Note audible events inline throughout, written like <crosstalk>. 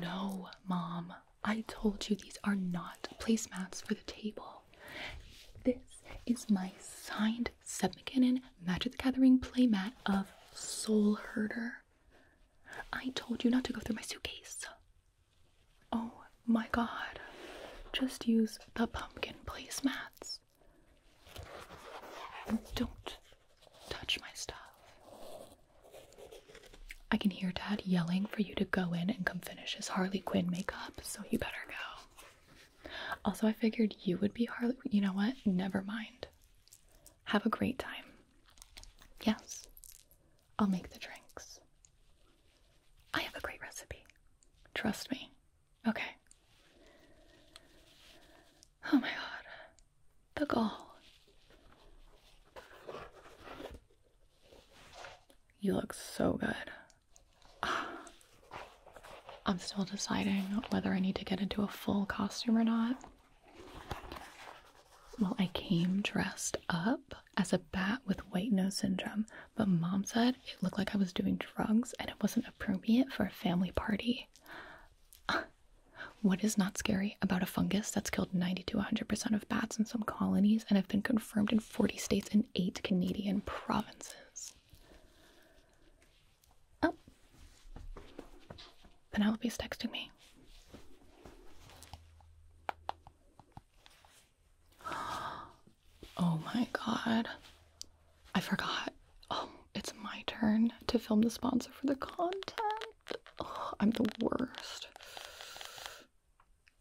No, Mom. I told you these are not placemats for the table. This is my signed Seb McKinnon Magic Gathering playmat of Soul Herder. I told you not to go through my suitcase. Oh my god. Just use the pumpkin placemats. Don't touch my stuff. I can hear Dad yelling for you to go in and come finish his Harley Quinn makeup, so you better go. Also, I figured you would be Harley. You know what? Never mind. Have a great time. Yes, I'll make the drinks. I have a great recipe. Trust me. Okay. Oh my god the goal. You look so good. <sighs> I'm still deciding whether I need to get into a full costume or not. Well, I came dressed up as a bat with white nose syndrome, but mom said it looked like I was doing drugs and it wasn't appropriate for a family party. <sighs> What is not scary about a fungus that's killed 90 to 100% of bats in some colonies and has been confirmed in 40 states and 8 Canadian provinces? Oh, Penelope's texting me. <gasps> Oh my god. I forgot. Oh, it's my turn to film the sponsor for the content. I'm the worst.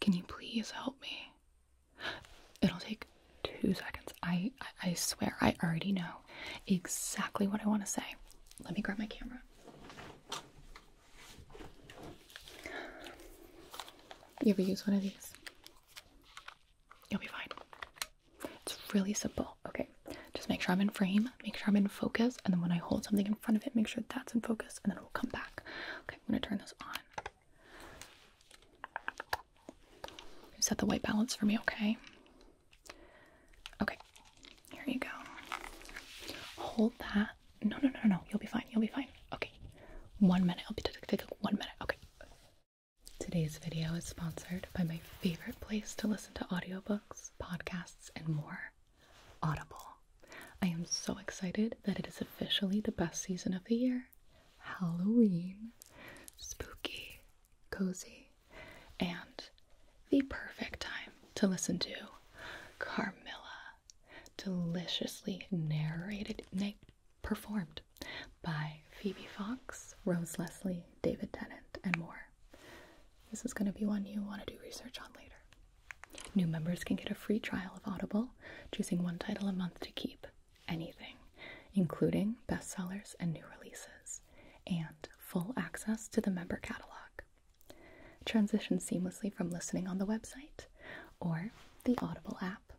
Can you please help me? It'll take two seconds. I, I swear I already know exactly what I want to say. Let me grab my camera. You ever use one of these? You'll be fine. It's really simple. Okay, just make sure I'm in frame, make sure I'm in focus, and then when I hold something in front of it, make sure that's in focus, and then we'll come back. Okay, I'm gonna turn this on. Set the white balance for me, okay? Okay, here you go. Hold that. No, no, no, no, no. You'll be fine. You'll be fine. Okay, one minute. I'll be take one minute. Okay. Today's video is sponsored by my favorite place to listen to audiobooks, podcasts and more. Audible. I am so excited that it is officially the best season of the year. Halloween, spooky, cozy, and the perfect time to listen to Carmilla, deliciously narrated, na performed by Phoebe Fox, Rose Leslie, David Tennant, and more. This is going to be one you want to do research on later. New members can get a free trial of Audible, choosing one title a month to keep, anything, including bestsellers and new releases, and full access to the member catalog. Transition seamlessly from listening on the website or the Audible app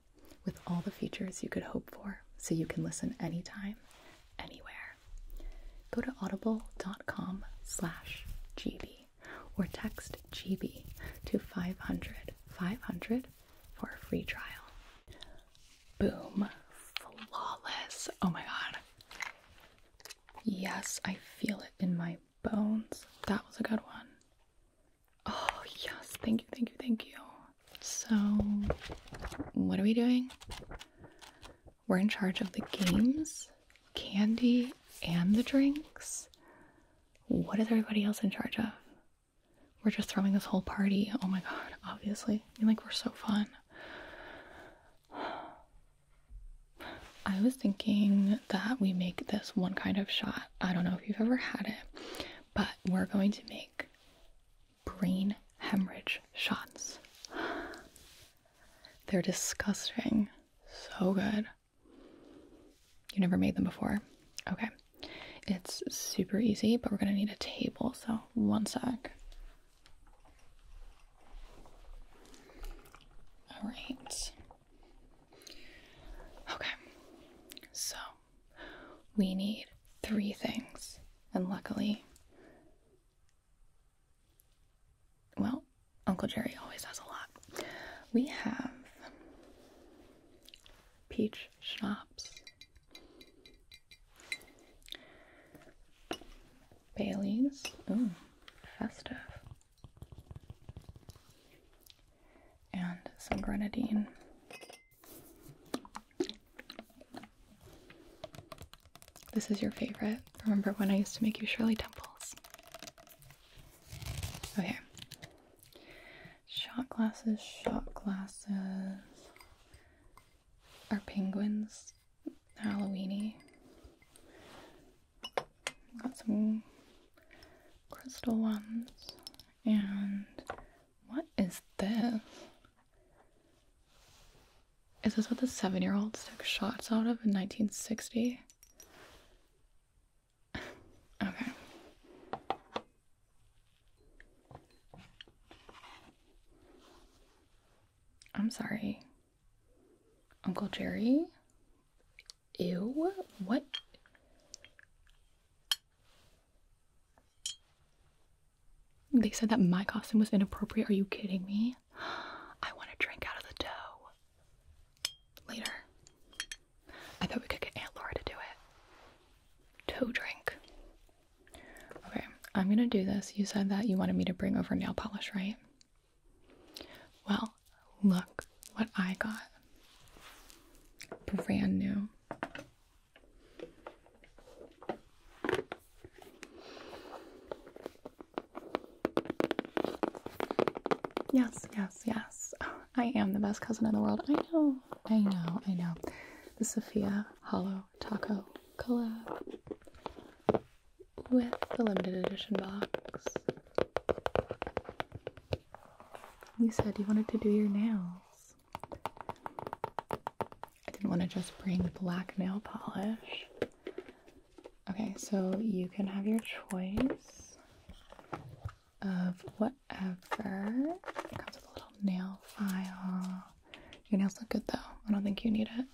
with all the features you could hope for so you can listen anytime, anywhere. Go to audible.com slash GB or text GB to 500 500 for a free trial. Boom. Flawless. Oh my god. Yes, I feel it in my bones. That was a good one. Oh, yes. Thank you, thank you, thank you. So, what are we doing? We're in charge of the games, candy, and the drinks. What is everybody else in charge of? We're just throwing this whole party. Oh my god, obviously. I mean, like, we're so fun. I was thinking that we make this one kind of shot. I don't know if you've ever had it, but we're going to make brain hemorrhage shots. <sighs> They're disgusting. So good. You never made them before? Okay. It's super easy, but we're gonna need a table, so one sec. All right. Okay. So we need three things, and luckily, well, Uncle Jerry always has a lot. We have peach shops, Bailey's, ooh, festive, and some grenadine. This is your favorite. Remember when I used to make you Shirley Temples? Okay. Shot glasses, shot glasses. Are penguins Halloweeny? Got some crystal ones. And what is this? Is this what the seven year olds took shots out of in 1960? <sighs> okay. I'm sorry. Uncle Jerry? Ew, what? They said that my costume was inappropriate. Are you kidding me? <gasps> I want to drink out of the dough. Later. I thought we could get Aunt Laura to do it. Toe drink. Okay, I'm gonna do this. You said that you wanted me to bring over nail polish, right? Well, look what I got. Brand new. Yes, yes, yes. I am the best cousin in the world. I know, I know, I know. The Sophia Hollow Taco collab with the limited edition box. You said you wanted to do your nails. I didn't want to just bring black nail polish. Okay, so you can have your choice of whatever. It comes with a little nail file. Your nails look good though. I don't think you need it.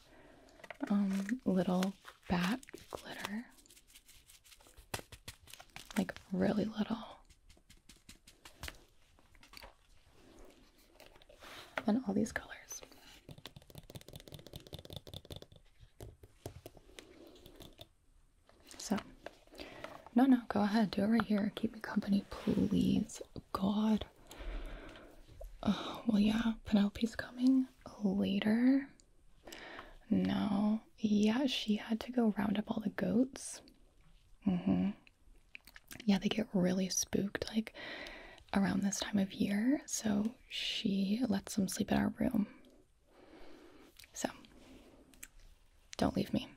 Um, little bat glitter. Like really little. And all these colors. So, no, no, go ahead, do it right here. Keep me company, please. God. Oh, well, yeah, Penelope's coming later. No, yeah, she had to go round up all the goats. Mm hmm yeah, they get really spooked like around this time of year. So she lets them sleep in our room. So don't leave me.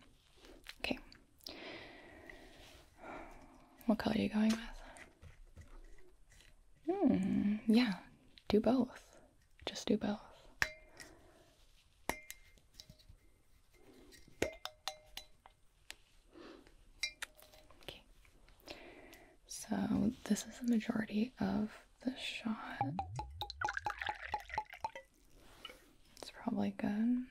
Okay. What color are you going with? Hmm, yeah, do both. Just do both. Okay. So this is the majority of the shot. It's probably good.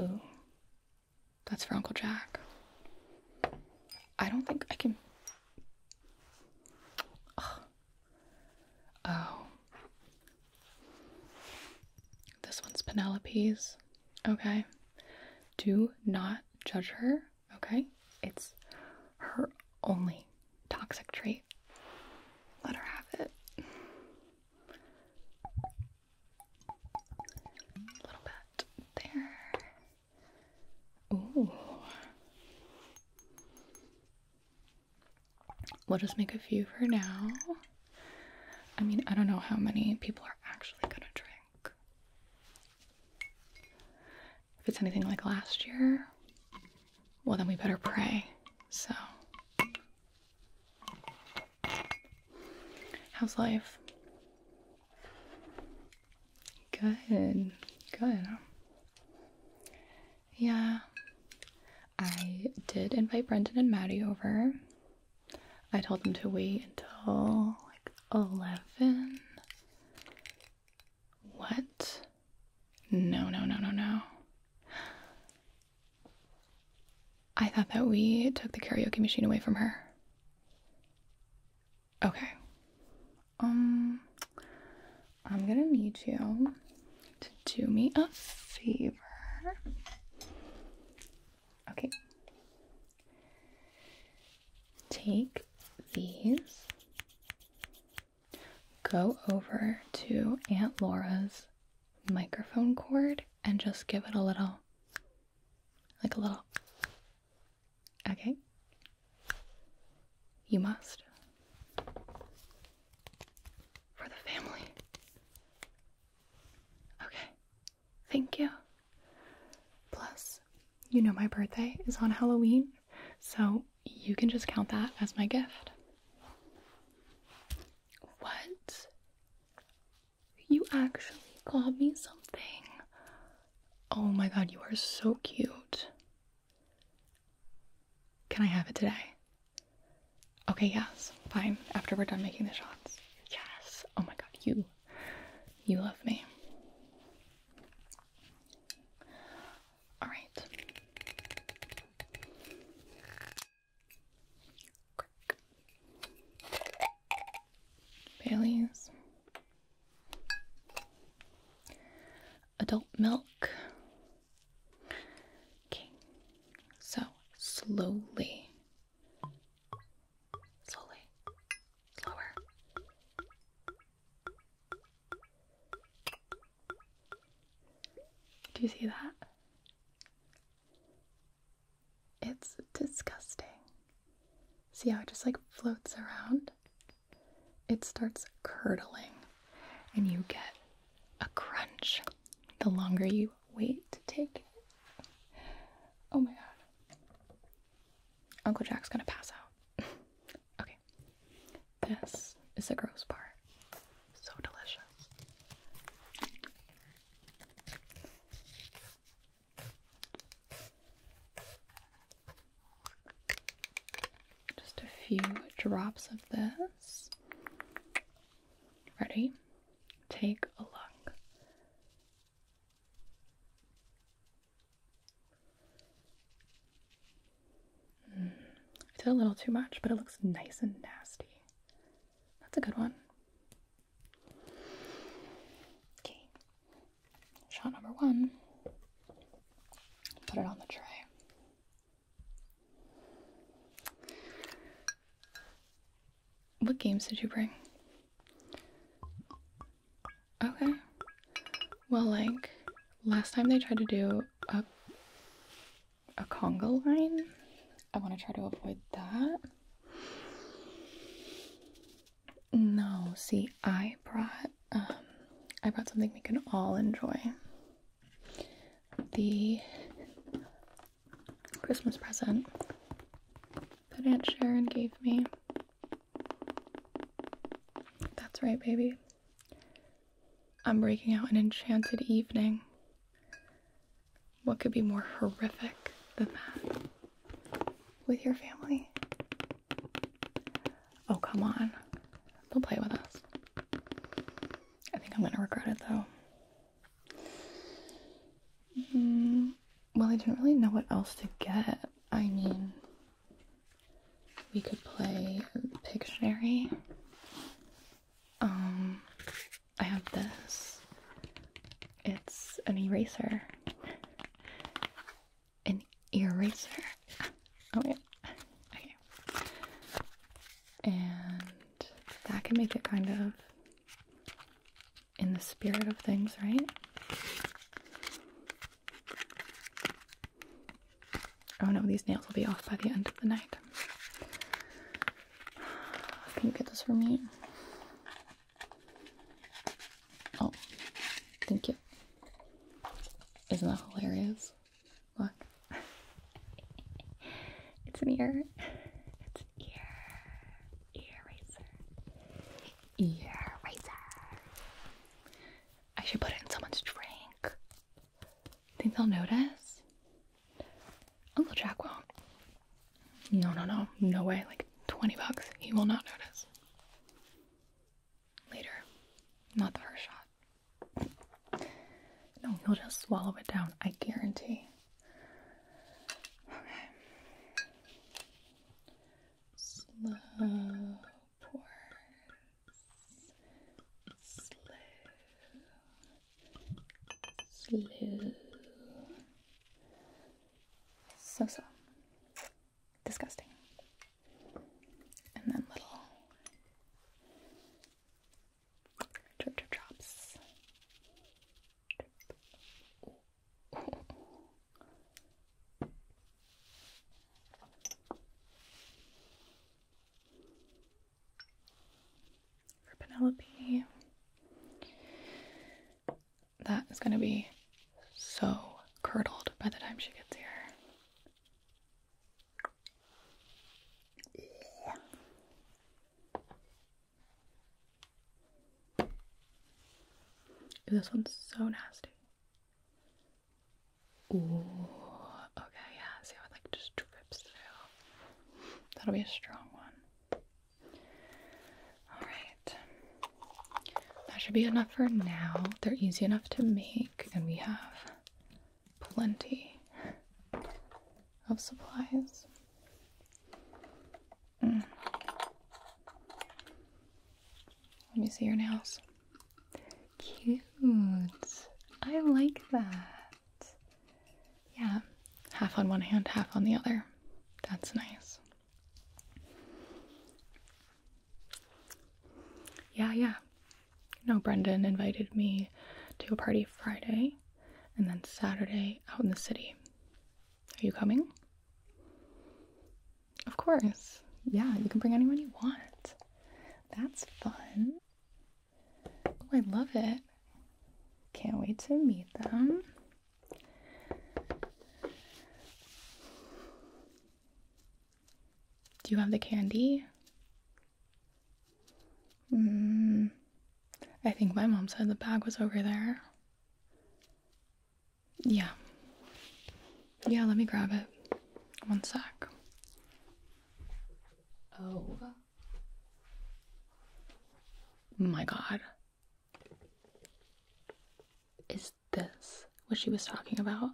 Ooh, that's for Uncle Jack. I don't think I can. Oh. This one's Penelope's. Okay. Do not judge her. Okay. It's her only toxic trait. Let her have it. A little bit there. Ooh. We'll just make a few for now. I mean, I don't know how many people are actually gonna drink. If it's anything like last year, well, then we better pray. So, How's life? Good, good. Yeah, I did invite Brendan and Maddie over. I told them to wait until like 11. What? No, no, no, no, no. I thought that we took the karaoke machine away from her. Okay. Um, I'm gonna need you to do me a favor. Okay. Take these, go over to Aunt Laura's microphone cord, and just give it a little like a little. Okay. You must. For the family. Okay. Thank you. Plus, you know my birthday is on Halloween, so you can just count that as my gift. What? You actually got me something. Oh my god, you are so cute. Can I have it today? Okay, yes, fine. After we're done making the shots. Yes. Oh my god, you. You love me. Alright. Bailey's. Adult milk. Okay, so slowly, slowly, slower. Do you see that? It's disgusting. See how it just like floats around? It starts curdling and you get a crunch the longer you wait to take it. Oh my god. Uncle Jack's gonna pass out. <laughs> okay. This is the gross part. So delicious. Just a few drops of this. Ready? Take a look. Mm, I did a little too much, but it looks nice and nasty. That's a good one. Okay. Shot number one. Put it on the tray. What games did you bring? Okay. Well, like, last time they tried to do a a conga line. I want to try to avoid that. No, see, I brought um, I brought something we can all enjoy. The Christmas present that Aunt Sharon gave me. That's right, baby. I'm breaking out an enchanted evening. What could be more horrific than that? With your family? Oh, come on. They'll play with us. I think I'm gonna regret it though. Mm, well, I didn't really know what else to get. I mean, we could play Pictionary. Um, I have this. It's an eraser. An eraser. Oh yeah. Okay. And that can make it kind of in the spirit of things, right? Oh no, these nails will be off by the end of the night. Can you get this for me? Oh, thank you. Isn't that hilarious? Look. <laughs> it's an ear. It's an ear. Ear razor. Ear razor. I should put it in someone's drink. Think they'll notice? Uncle Jack will No, no, no. No way. Like 20 bucks. He will not notice. Later. Not the first shot. No, he'll just swallow it down. I guarantee. Okay. Slow pours. Slow Slow. So so. Disgusting. And then little drip drip drops for Penelope. That is going to be so curdled by the time she gets here. This one's so nasty. okay, yeah. See how it like just drips through. That'll be a strong one. All right. That should be enough for now. They're easy enough to make, and we have plenty of supplies. Mm. Let me see your nails. Cute. I like that. Yeah, half on one hand, half on the other. That's nice. Yeah, yeah. No, Brendan invited me to a party Friday and then Saturday out in the city. Are you coming? Of course. Yeah, you can bring anyone you want. That's fun. Oh, I love it. Can't wait to meet them. Do you have the candy? Mm, I think my mom said the bag was over there. Yeah. Yeah, let me grab it. One sec. Oh. My god. Is this what she was talking about?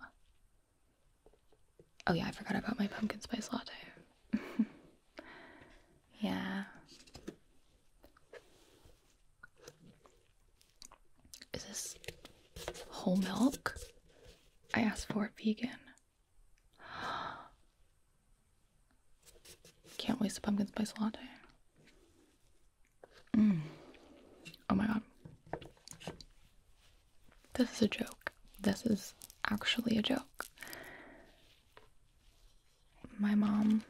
Oh, yeah, I forgot about my pumpkin spice latte. <laughs> yeah. Is this whole milk? I asked for vegan. <gasps> Can't waste a pumpkin spice latte. Mm. Oh my god. This is a joke. This is actually a joke. My mom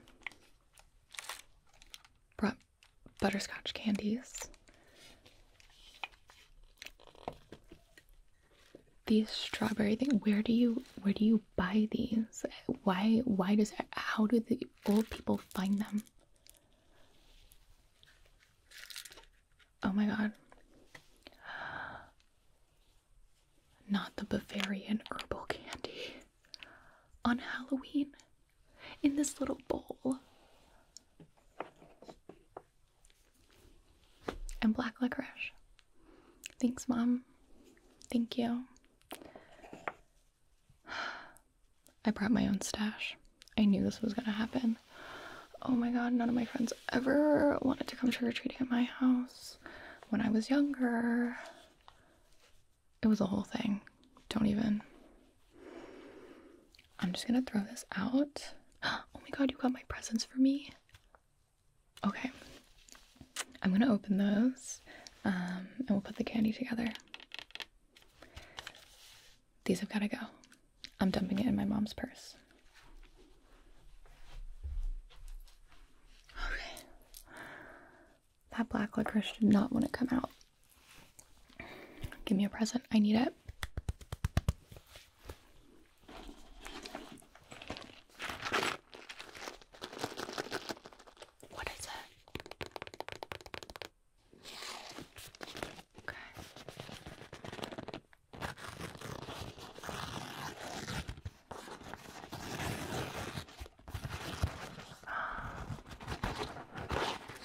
brought butterscotch candies these strawberry thing. Where do you where do you buy these? Why why does how do the old people find them? Oh my god. Not the Bavarian herbal candy. On Halloween? In this little bowl and black licorice. Thanks, Mom. Thank you. I brought my own stash. I knew this was gonna happen. Oh my god, none of my friends ever wanted to come trick or treating at my house when I was younger. It was a whole thing. Don't even. I'm just gonna throw this out. <gasps> Oh my god, you got my presents for me? Okay, I'm gonna open those um, and we'll put the candy together. These have gotta go. I'm dumping it in my mom's purse. Okay. That black licorice did not want to come out. Give me a present. I need it. What is it? Okay.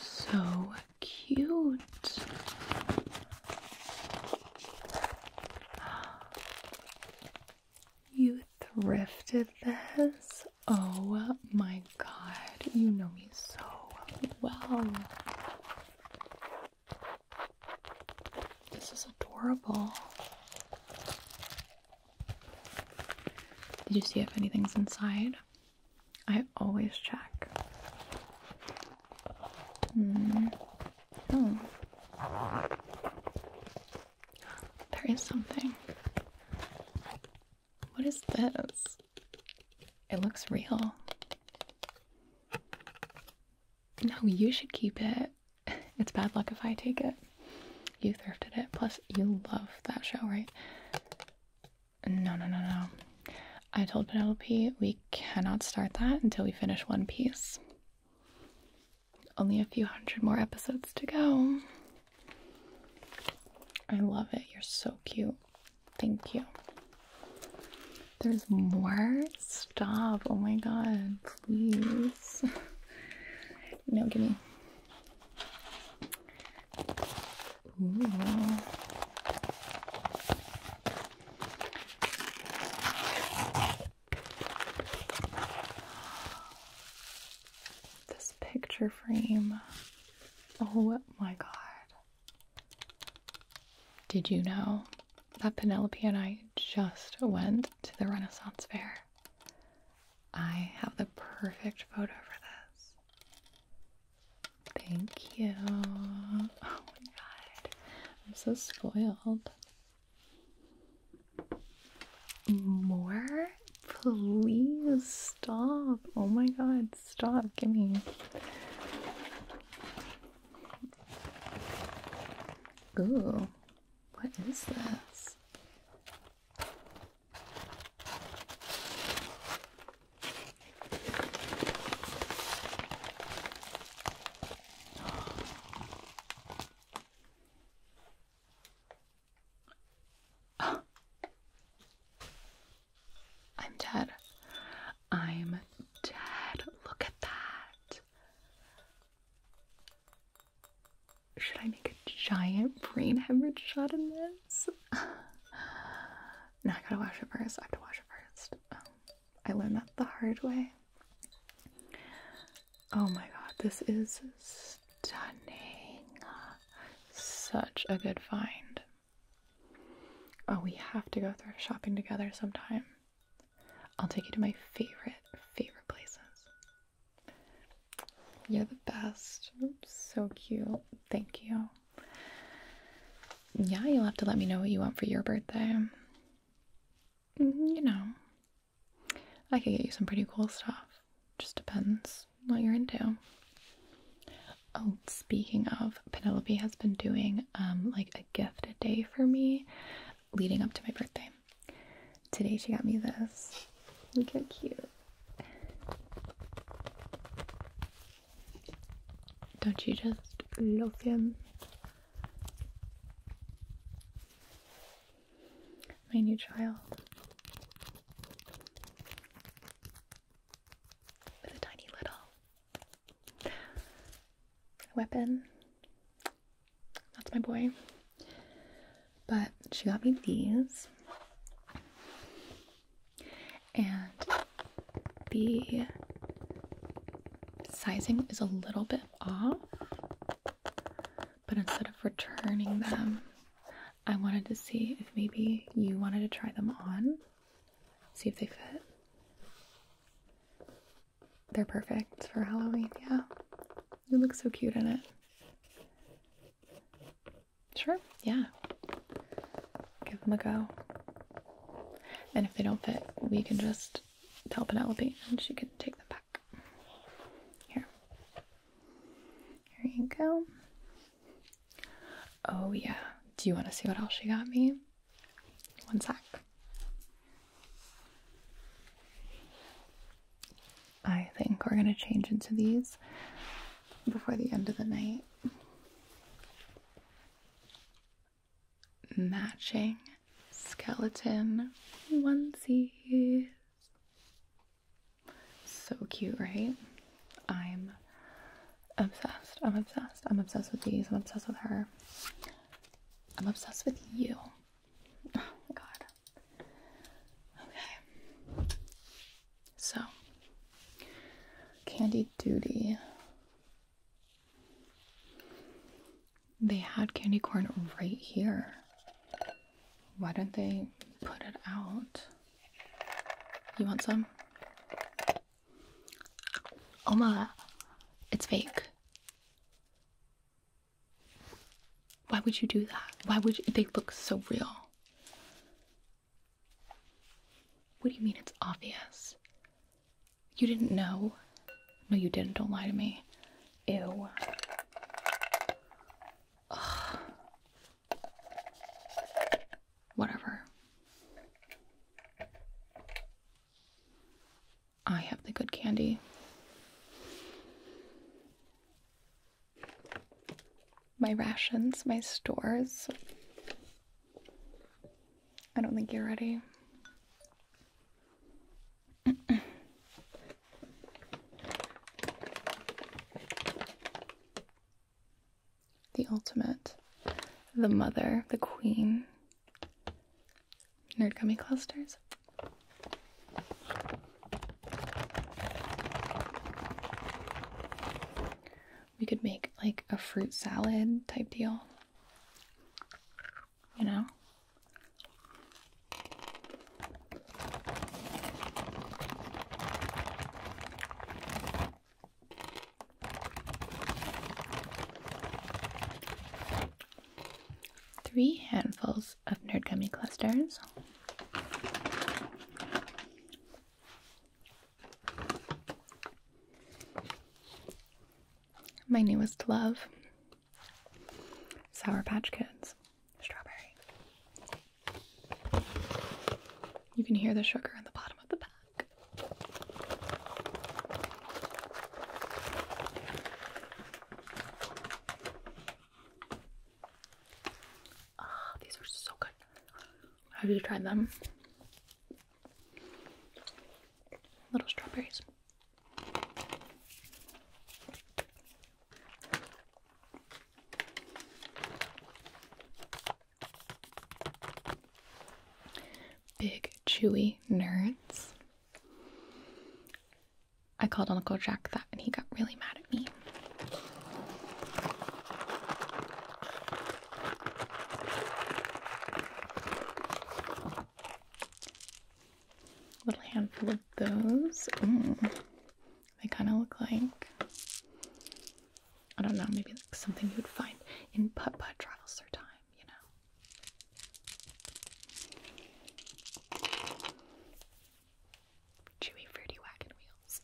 So cute. You thrifted this? Oh my god, you know me so well. This is adorable. Did you see if anything's inside? I always check. Mm. Hmm. There is something. What is this? It looks real. No, you should keep it. <laughs> It's bad luck if I take it. You thrifted it. Plus, you love that show, right? No, no, no, no. I told Penelope we cannot start that until we finish One Piece. Only a few hundred more episodes to go. I love it. You're so cute. Thank you. There's more? Stop. Oh my god, please. <laughs> no, give me. This picture frame. Oh my god. Did you know that Penelope and I just went to the Renaissance Fair? I have the perfect photo for this. Thank you. Oh my god. I'm so spoiled. More? Please stop. Oh my god, stop. Give me. Ooh, what is this? <gasps> I'm dead. I'm dead. Look at that. Should I make a giant brain hemorrhage shot in this? <laughs> no, I gotta wash it first. I have to wash it first. Um, I learned that the hard way. Oh my god, this is stunning. Such a good find. Oh, we have to go thrift shopping together sometime. I'll take you to my favorite, favorite places. You're the best. So cute. Thank you. Yeah, you'll have to let me know what you want for your birthday. Mm-hmm. you know, I could get you some pretty cool stuff. Just depends what you're into. Oh, speaking of, Penelope has been doing um like a gift a day for me leading up to my birthday. Today she got me this. Look how cute. Don't you just love him? my new child, with a tiny little weapon. That's my boy. But she got me these, and the sizing is a little bit off, but instead of returning them, I wanted to see if maybe you wanted to try them on, see if they fit. They're perfect for Halloween, yeah. You look so cute in it. Sure, yeah give them a go. And if they don't fit, we can just tell Penelope and she can take them back. Here. Here you go. Oh, yeah. Do you want to see what else she got me? One sec. I think we're going to change into these before the end of the night matching skeleton onesies. So cute, right? I'm obsessed. I'm obsessed. I'm obsessed with these. I'm obsessed with her. I'm obsessed with you. Oh my god. Okay. So, Candy Duty they had candy corn right here. Why don't they put it out? You want some? Oh my, it's fake. Why would you do that? Why would They look so real. What do you mean it's obvious? You didn't know? No, you didn't. Don't lie to me. Ew. Whatever. I have the good candy. My rations, my stores. I don't think you're ready. the ultimate, the mother, the queen. Nerd gummy clusters we could make like a fruit salad type deal. You know? Three handfuls of nerd gummy clusters. My newest love Sour Patch Kids. Strawberry. You can hear the sugar in the bottom of the pack. Ah, these are so good. Have you tried them? Little strawberries. Big chewy nerds. I called Uncle Jack that and he got really mad at me. Little handful of those. they kind of look like I don't know, maybe something you would find in Put Put travels through time, you know. Chewy fruity wagon wheels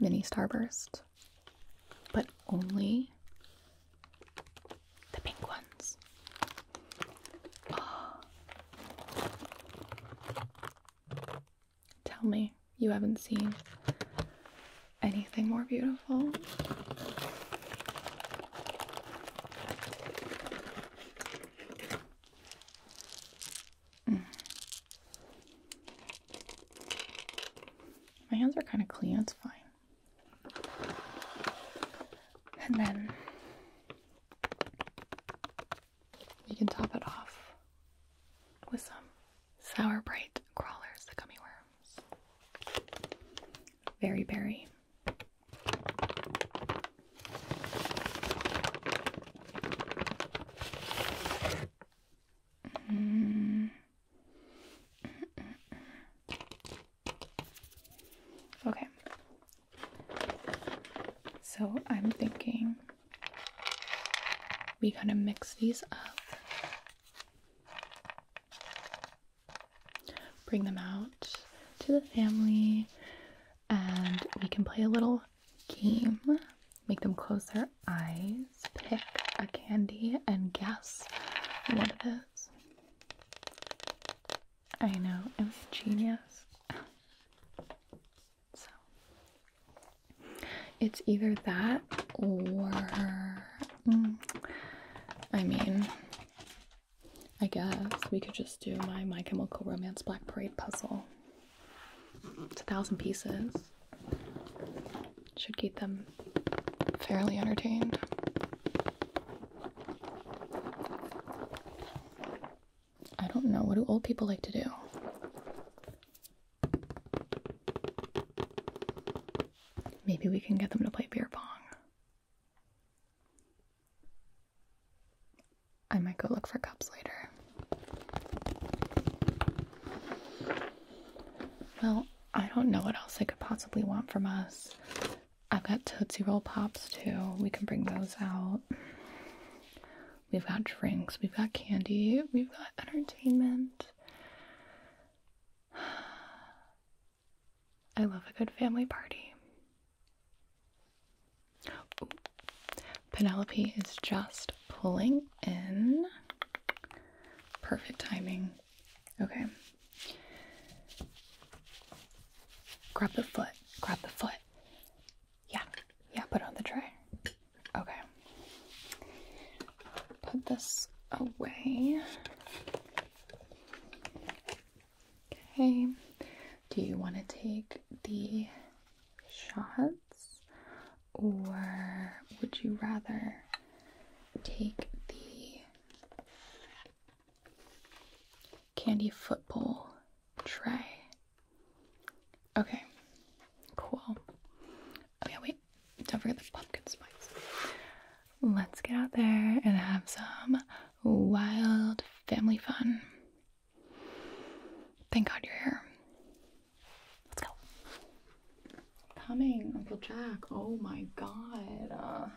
mini starburst, but only the pink ones. Ah. Tell me you haven't seen anything more beautiful. Mm. My hands are kind of clean, it's fine. And then we can top it off with some sour bright crawlers, the gummy worms. Very berry. Mm. Okay. So I'm thinking we kind of mix these up, bring them out to the family, and we can play a little game. Make them close their eyes, pick a candy, and guess what it is. I know, it's genius. <laughs> so, it's either that or. Mm, I mean, I guess we could just do my My Chemical Romance Black Parade puzzle. It's a thousand pieces. Should keep them fairly entertained. I don't know. What do old people like to do? Maybe we can get them to play beer pong. I might go look for cups later. Well, I don't know what else I could possibly want from us. I've got Tootsie Roll Pops too. We can bring those out. We've got drinks, we've got candy, we've got entertainment. <sighs> I love a good family party. Penelope is just pulling in. Perfect timing. Okay. Grab the foot. Grab the foot. Yeah. Yeah, put on the tray. Okay. Put this away. Okay. Do you want to take the shots, or would you rather take the candy football tray? Okay, cool. Oh, yeah, wait, don't forget the pumpkin spice. Let's get out there and have some wild family fun. Thank God you're here. Let's go. Coming, Uncle Jack. Oh my God. Uh,